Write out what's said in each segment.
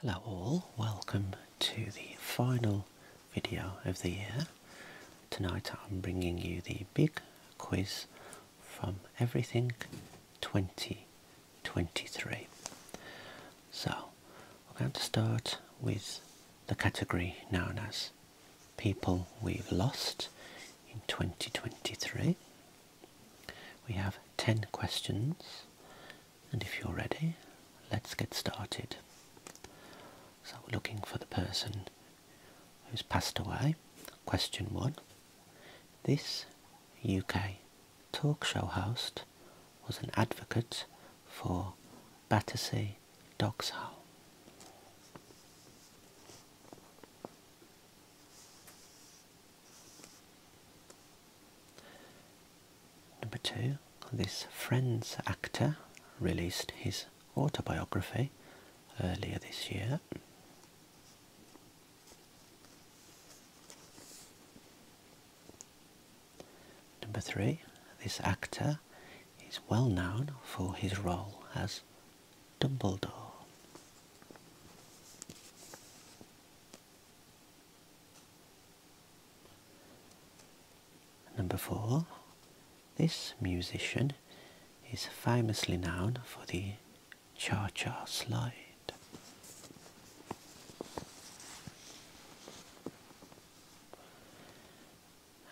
Hello all, welcome to the final video of the year. Tonight I'm bringing you the big quiz from Everything 2023. So, we're going to start with the category known as People We've Lost in 2023. We have 10 questions and if you're ready, let's get started. So we're looking for the person who's passed away. Question one. This UK talk show host was an advocate for Battersea Dogs Home. Number two, this Friends actor released his autobiography earlier this year. Number three, this actor is well known for his role as Dumbledore. Number four, this musician is famously known for the cha cha slide.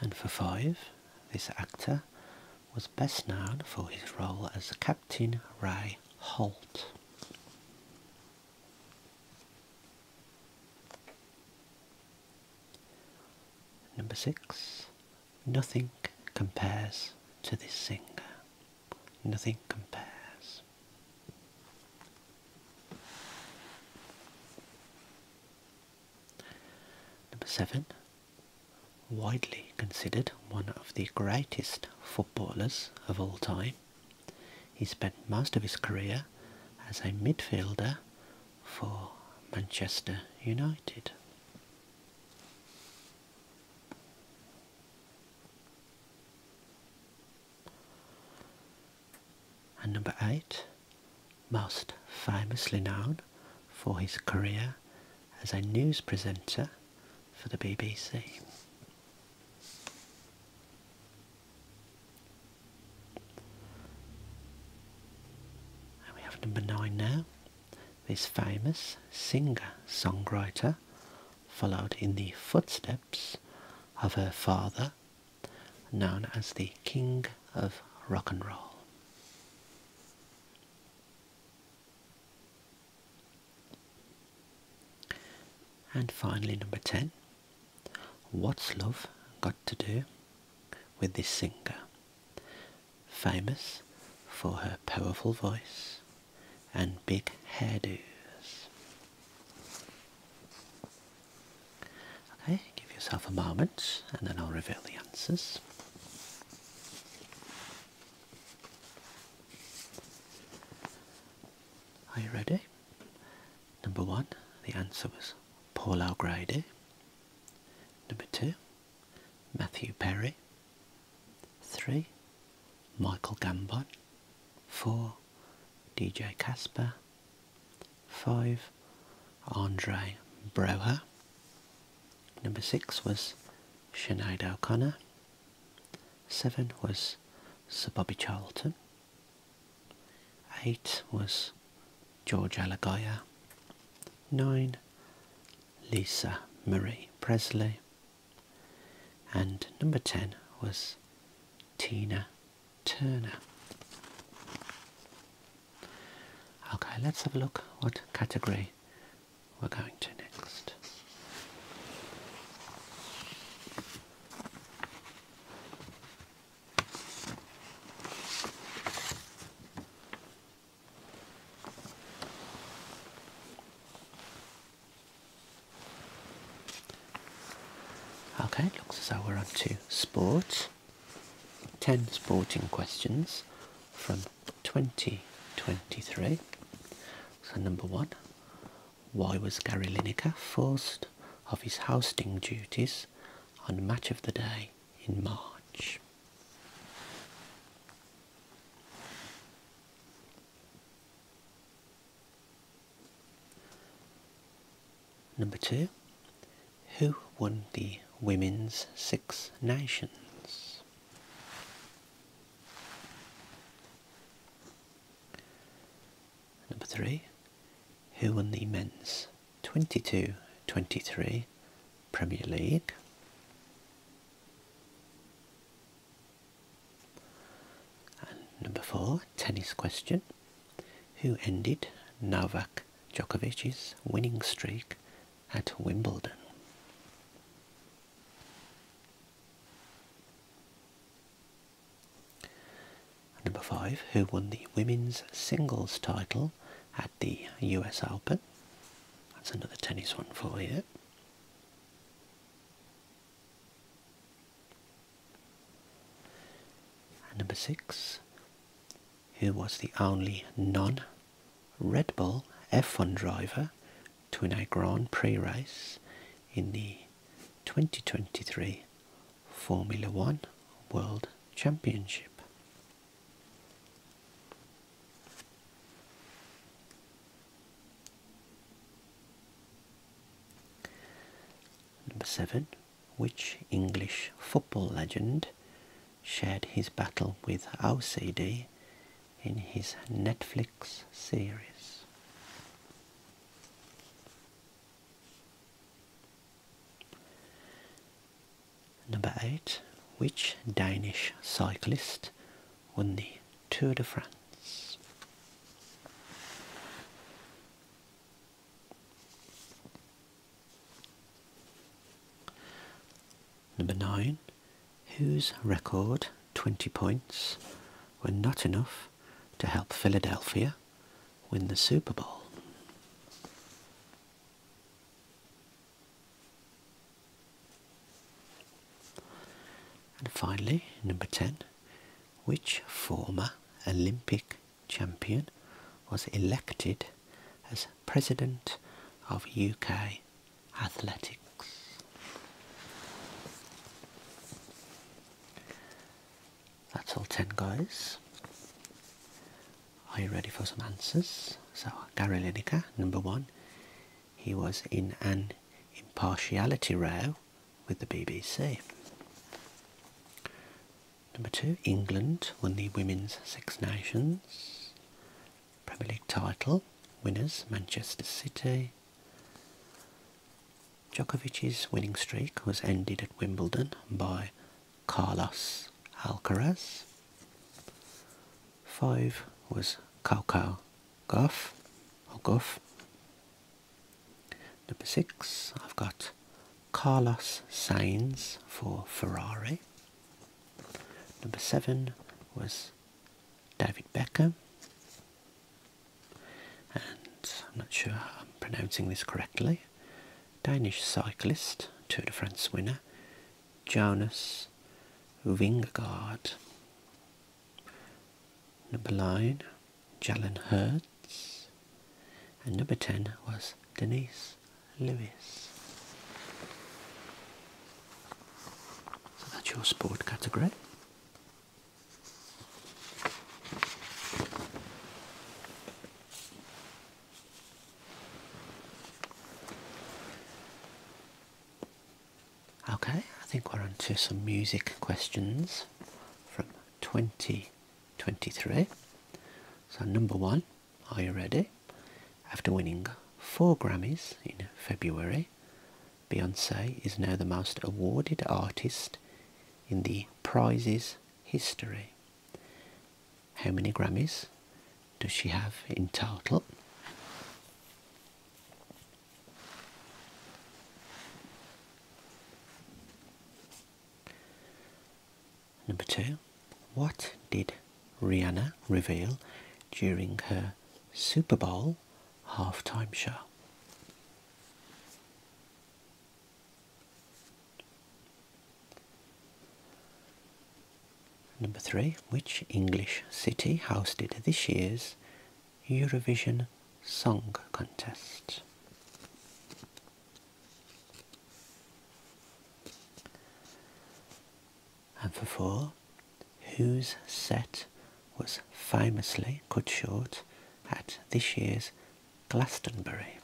And for five, this actor was best known for his role as Captain Ray Holt. Number six, nothing compares to this singer. Nothing compares. Number seven, widely considered one of the greatest footballers of all time. He spent most of his career as a midfielder for Manchester United. And number eight, most famously known for his career as a news presenter for the BBC. And we have number nine now. This famous singer-songwriter followed in the footsteps of her father, known as the King of Rock and Roll. And finally, number 10 What's Love Got to Do with This Singer? Famous for her powerful voice and big hairdos. Okay, give yourself a moment and then I'll reveal the answers. Are you ready? Number one, the answer was Paul O'Grady. Number two, Matthew Perry. Three, Michael Gambon. Four, DJ Casper. Five, Andre Broha. Number six was Shane O'Connor. Seven was Sir Bobby Charlton. Eight was George Alagoya. Nine, Lisa Marie Presley. And number ten was Tina Turner. Okay, let's have a look what category we're going to next left. Okay, looks as though we're on to sport. 10 sporting questions from 2023. So, number one, why was Gary Lineker forced of his hosting duties on Match of the Day in March? Number two, who won the Women's Six Nations? Number three, who won the men's 22-23 Premier League? number four, tennis question, who ended Novak Djokovic's winning streak at Wimbledon? Number five, who won the women's singles title at the US Open? That's another tennis one for you. number six, who was the only non Red Bull F1 driver to a Grand Prix race in the 2023 Formula One World Championship. Number 7. Which English football legend shared his battle with OCD in his Netflix series. Number 8. Which Danish cyclist won the Tour de France? Number 9 whose record 20 points were not enough to help Philadelphia win the Super Bowl. And finally, number 10, which former Olympic champion was elected as president of UK athletics. That's all 10 guys. Are you ready for some answers? So, Gary Lineker, number one, he was in an impartiality row with the BBC. Number two, England won the Women's Six Nations Premier League title. Winners, Manchester City, Djokovic's winning streak was ended at Wimbledon by Carlos Alcaraz. Five was Coco Goff or Goff. Number six, I've got Carlos Sainz for Ferrari. Number seven was David Beckham, and I'm not sure I'm pronouncing this correctly, Danish cyclist, Tour de France winner, Jonas Vingegaard. Number 9, Jalen Hurts. And number 10 was Denise Lewis. So that's your sport category. Okay, I think we're on to some music questions from 2023. So, number one, are you ready? After winning four Grammys in February, Beyonce is now the most awarded artist in the prizes history. How many Grammys does she have in total? Number two, what did Rihanna reveal during her Super Bowl halftime show. Number three, which English city hosted this year's Eurovision Song Contest? And for four, whose set was famously cut short at this year's Glastonbury.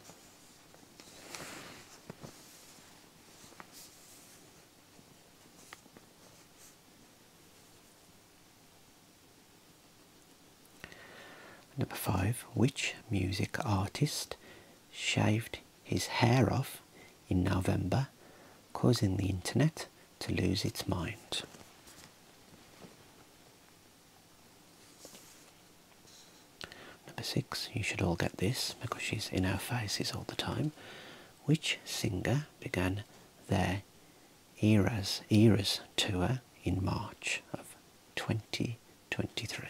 Number five, which music artist shaved his hair off in November causing the internet to lose its mind. Number six, you should all get this because she's in our faces all the time. Which singer began their Eras Eras tour in March of 2023?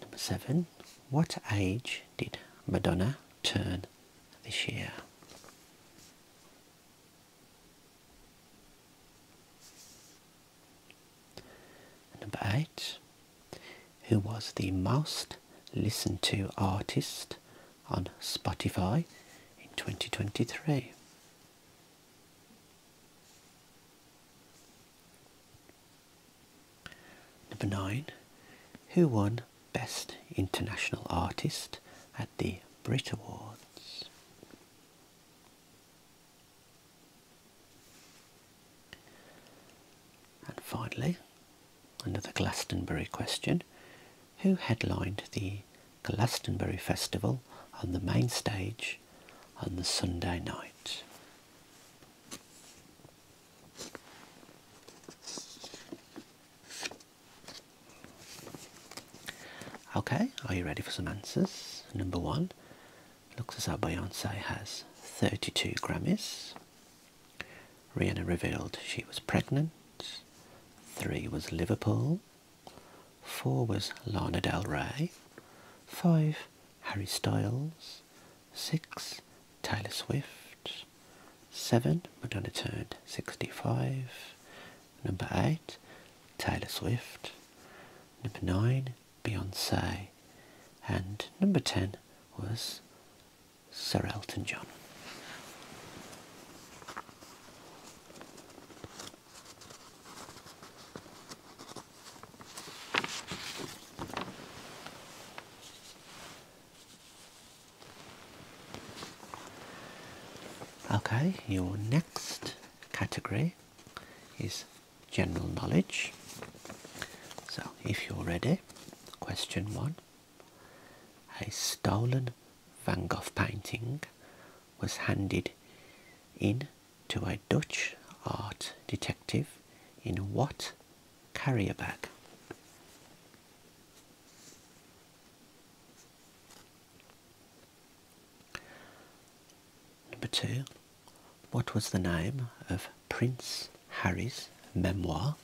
number seven, what age did Madonna turn this year? number eight, who was the most listened to artist on Spotify in 2023? Number nine, who won Best International Artist at the Brit Awards? And finally, another Glastonbury question. Who headlined the Glastonbury Festival on the main stage on the Sunday night? Okay, are you ready for some answers? Number one, looks as though Beyonce has 32 Grammys. Rihanna revealed she was pregnant. Three was Liverpool. Four was Lana Del Rey. Five Harry Styles. 6. Taylor Swift. 7. Madonna turned 65. Number 8. Taylor Swift. Number 9. Beyonce. And number 10 was Sir Elton John. Okay, your next category is general knowledge. So, if you're ready, question one. A stolen Van Gogh painting was handed in to a Dutch art detective in what carrier bag? Number two, what was the name of Prince Harry's memoir?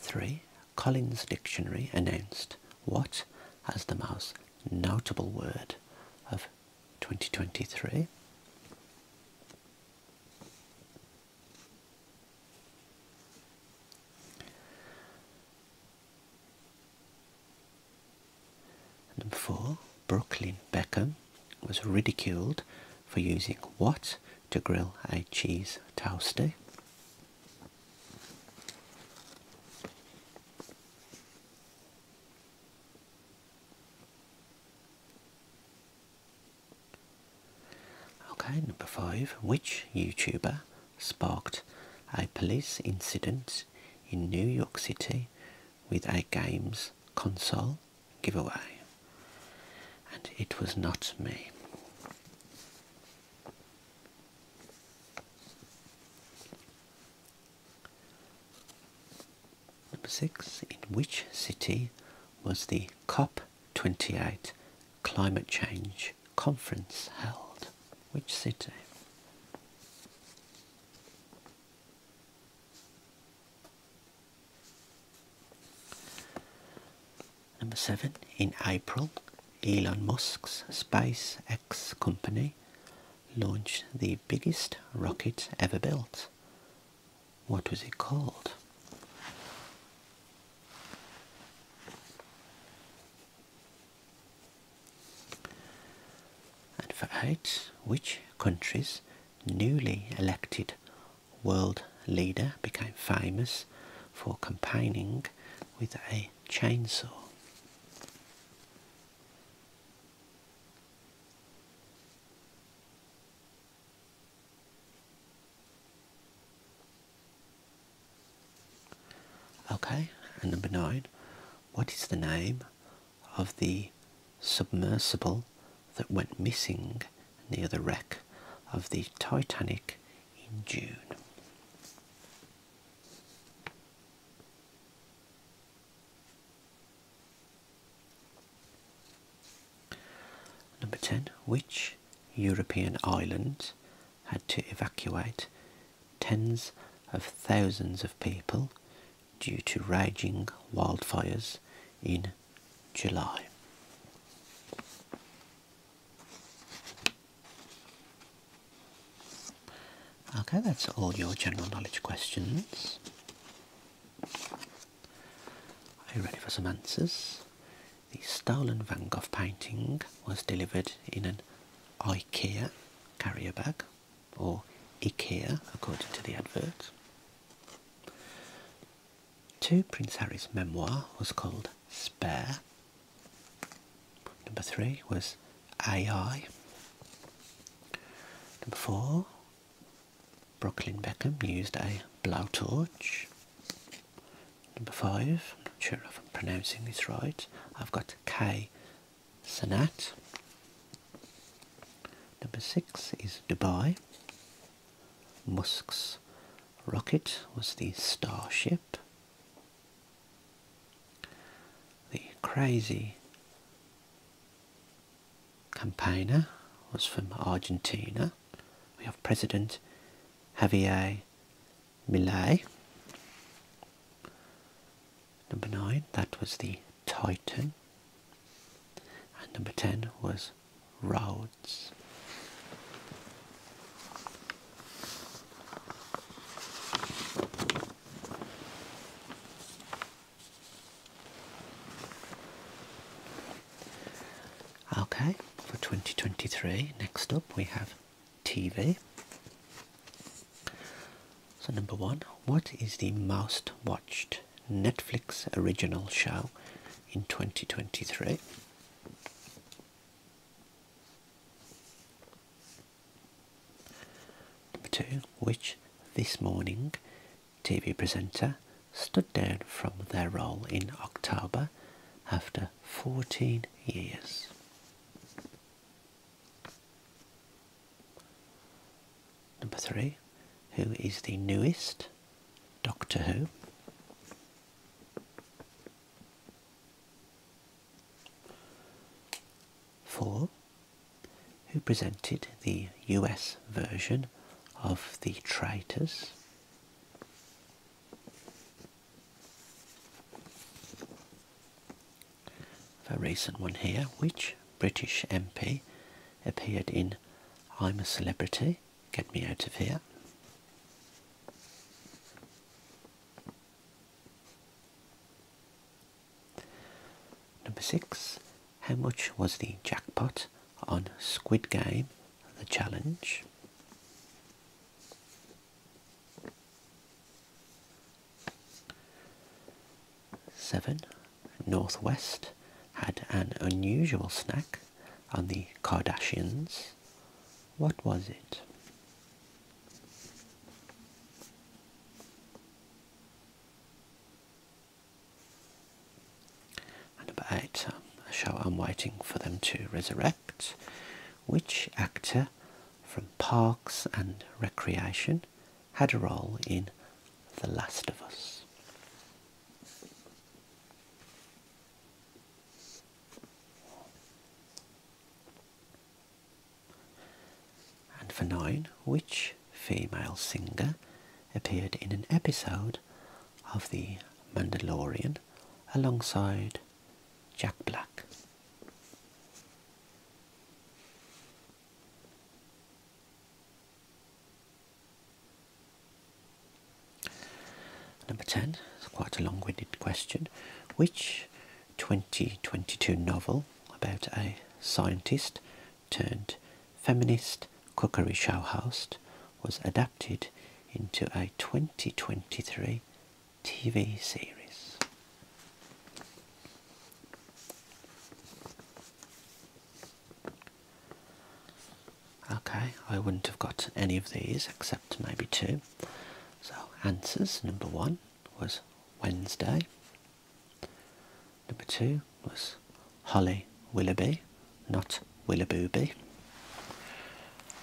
3. Collins Dictionary announced what as the most notable word of 2023. Number four, Brooklyn Beckham was ridiculed for using what to grill a cheese toastie. Okay, number five. Which YouTuber sparked a police incident in New York City with a games console giveaway? And it was not me. Number six, in which city was the COP28 climate change conference held? Which city? Number seven, in April, Elon Musk's SpaceX company launched the biggest rocket ever built. What was it called? And for eight, which country's newly elected world leader became famous for campaigning with a chainsaw. Okay, and number nine, what is the name of the submersible that went missing near the wreck of the Titanic in June. Number 10. Which European island had to evacuate tens of thousands of people due to raging wildfires in July? Okay, that's all your general knowledge questions. Are you ready for some answers? The stolen Van Gogh painting was delivered in an IKEA carrier bag, or IKEA according to the advert. Two Prince Harry's memoir was called Spare Number three was AI. Number four, Brooklyn Beckham used a blowtorch. Number five, I'm not sure if I'm pronouncing this right, I've got K. Sanat. Number six is Dubai. Musk's rocket was the Starship. The crazy campaigner was from Argentina. We have President Javier Millet. Number nine, that was the Titan. And number ten was Rose. Okay, for 2023, next up we have TV. So, number one, what is the most watched Netflix original show in 2023? Number two, which this morning TV presenter stood down from their role in October after 14 years. Number three, who is the newest Doctor Who? 4. Who presented the US version of the Traitors? A recent one here. Which British MP appeared in I'm a Celebrity Get me out of here. Number six, how much was the jackpot on Squid Game The Challenge? Seven, Northwest had an unusual snack on the Kardashians. What was it? And number eight, a show I'm waiting for them to resurrect. Which actor from Parks and Recreation had a role in The Last of Us? And for nine, which female singer appeared in an episode of The Mandalorian alongside Jack Black? Number 10, it's quite a long winded question. Which 2022 novel about a scientist turned feminist cookery show host was adapted into a 2023 TV series? Okay, I wouldn't have got any of these except maybe two. So, answers number one was Wednesday. Number two was Holly Willoughby, not Willabooby.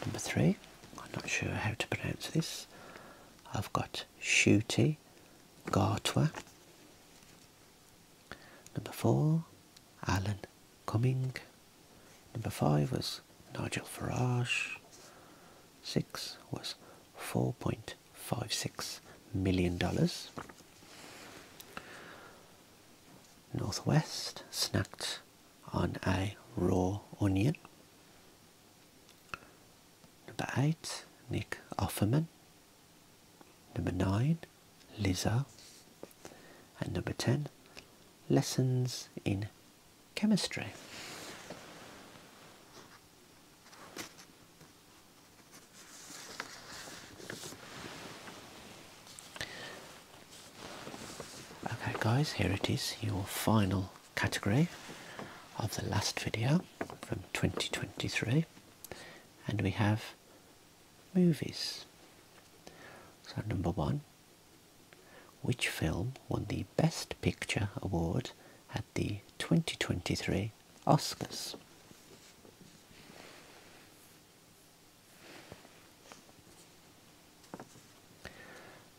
Number three, I'm not sure how to pronounce this. I've got Shooty Gartwa. Number four, Alan Coming, Number five was Nigel Farage. Six was $4.56 million. Northwest snacked on a raw onion. Number eight, Nick Offerman. Number nine, Lizzo. And number 10, lessons in chemistry. Okay guys, here it is, your final category of the last video from 2023 and we have movies. So number one, which film won the Best Picture award at the 2023 Oscars?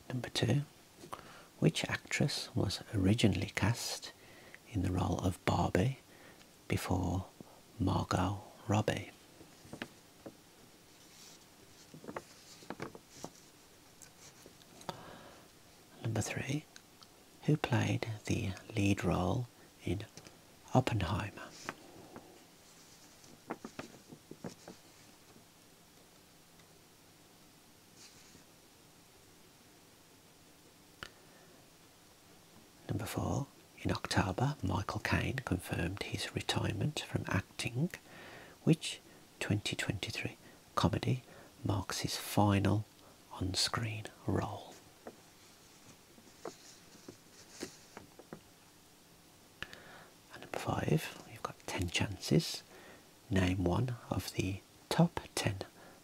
Number two, which actress was originally cast in the role of Barbie before Margot Robbie? Number three, who played the lead role in Oppenheimer? Number four, in October, Michael Caine confirmed his retirement from acting, which 2023 comedy marks his final on screen role. number five, you've got 10 chances. Name one of the top 10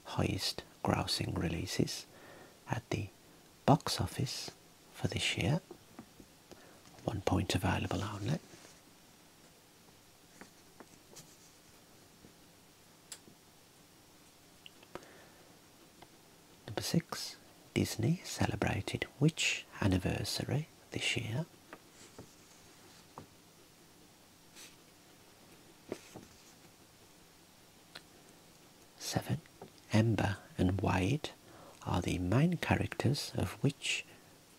highest grossing releases at the box office for this year one point available only. Number six, Disney celebrated which anniversary this year? Seven, Amber and White are the main characters of which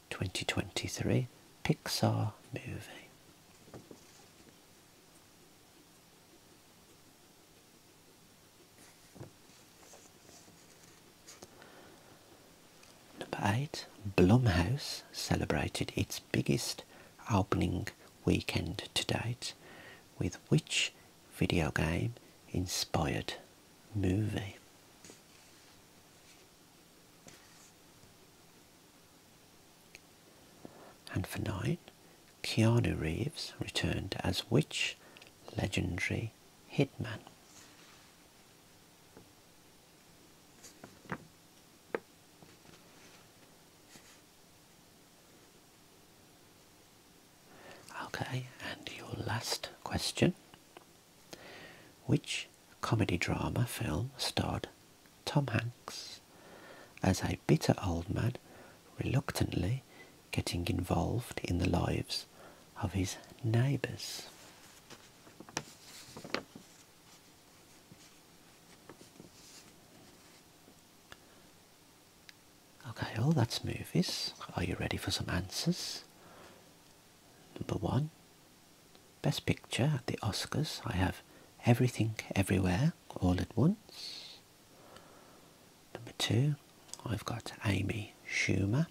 2023 Pixar movie? Number 8. Blumhouse celebrated its biggest opening weekend to date with which video game inspired movie. And for nine, Keanu Reeves returned as which legendary hitman? Okay, and your last question. Which comedy drama film starred Tom Hanks as a bitter old man reluctantly getting involved in the lives of his neighbours? Okay, well oh, that's movies. Are you ready for some answers? Number one, Best Picture at the Oscars. I have Everything Everywhere All at Once. Number two, I've got Amy Schumer.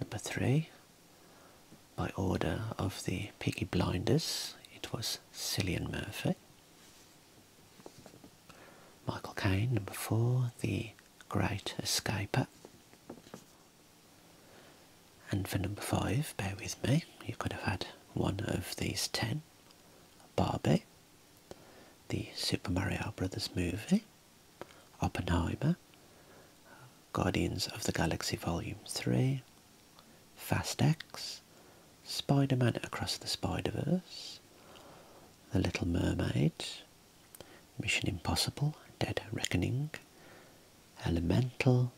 Number three, by order of the Piggy Blinders, it was Cillian Murphy. Michael Caine, number four, The Great Escaper. And for number five, bear with me, you could have had one of these ten. Barbie, the Super Mario Brothers movie, Oppenheimer, Guardians of the Galaxy Volume 3, Fast X, Spider-Man Across the Spider-Verse, the Little Mermaid, Mission Impossible, Dead Reckoning, Elemental,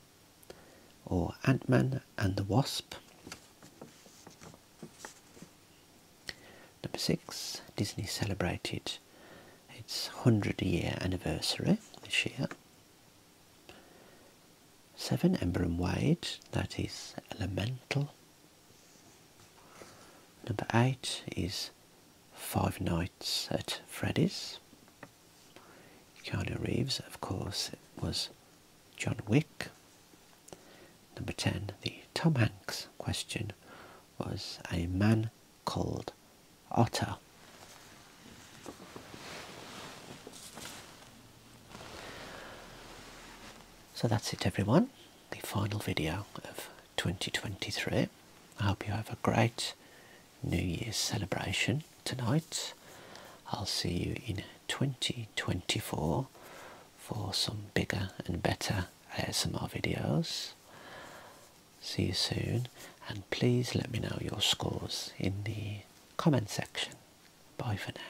or Ant-Man and the Wasp. Number six, Disney celebrated its 100 year anniversary this year. Seven, Ember and Wade, that is Elemental. Number eight is Five Nights at Freddy's. Keanu Reeves, of course, was John Wick. Number 10, the Tom Hanks question was a man called Otter. So that's it everyone the final video of 2023. I hope you have a great New Year's celebration tonight. I'll see you in 2024 for some bigger and better ASMR videos. See you soon and please let me know your scores in the comment section. Bye for now.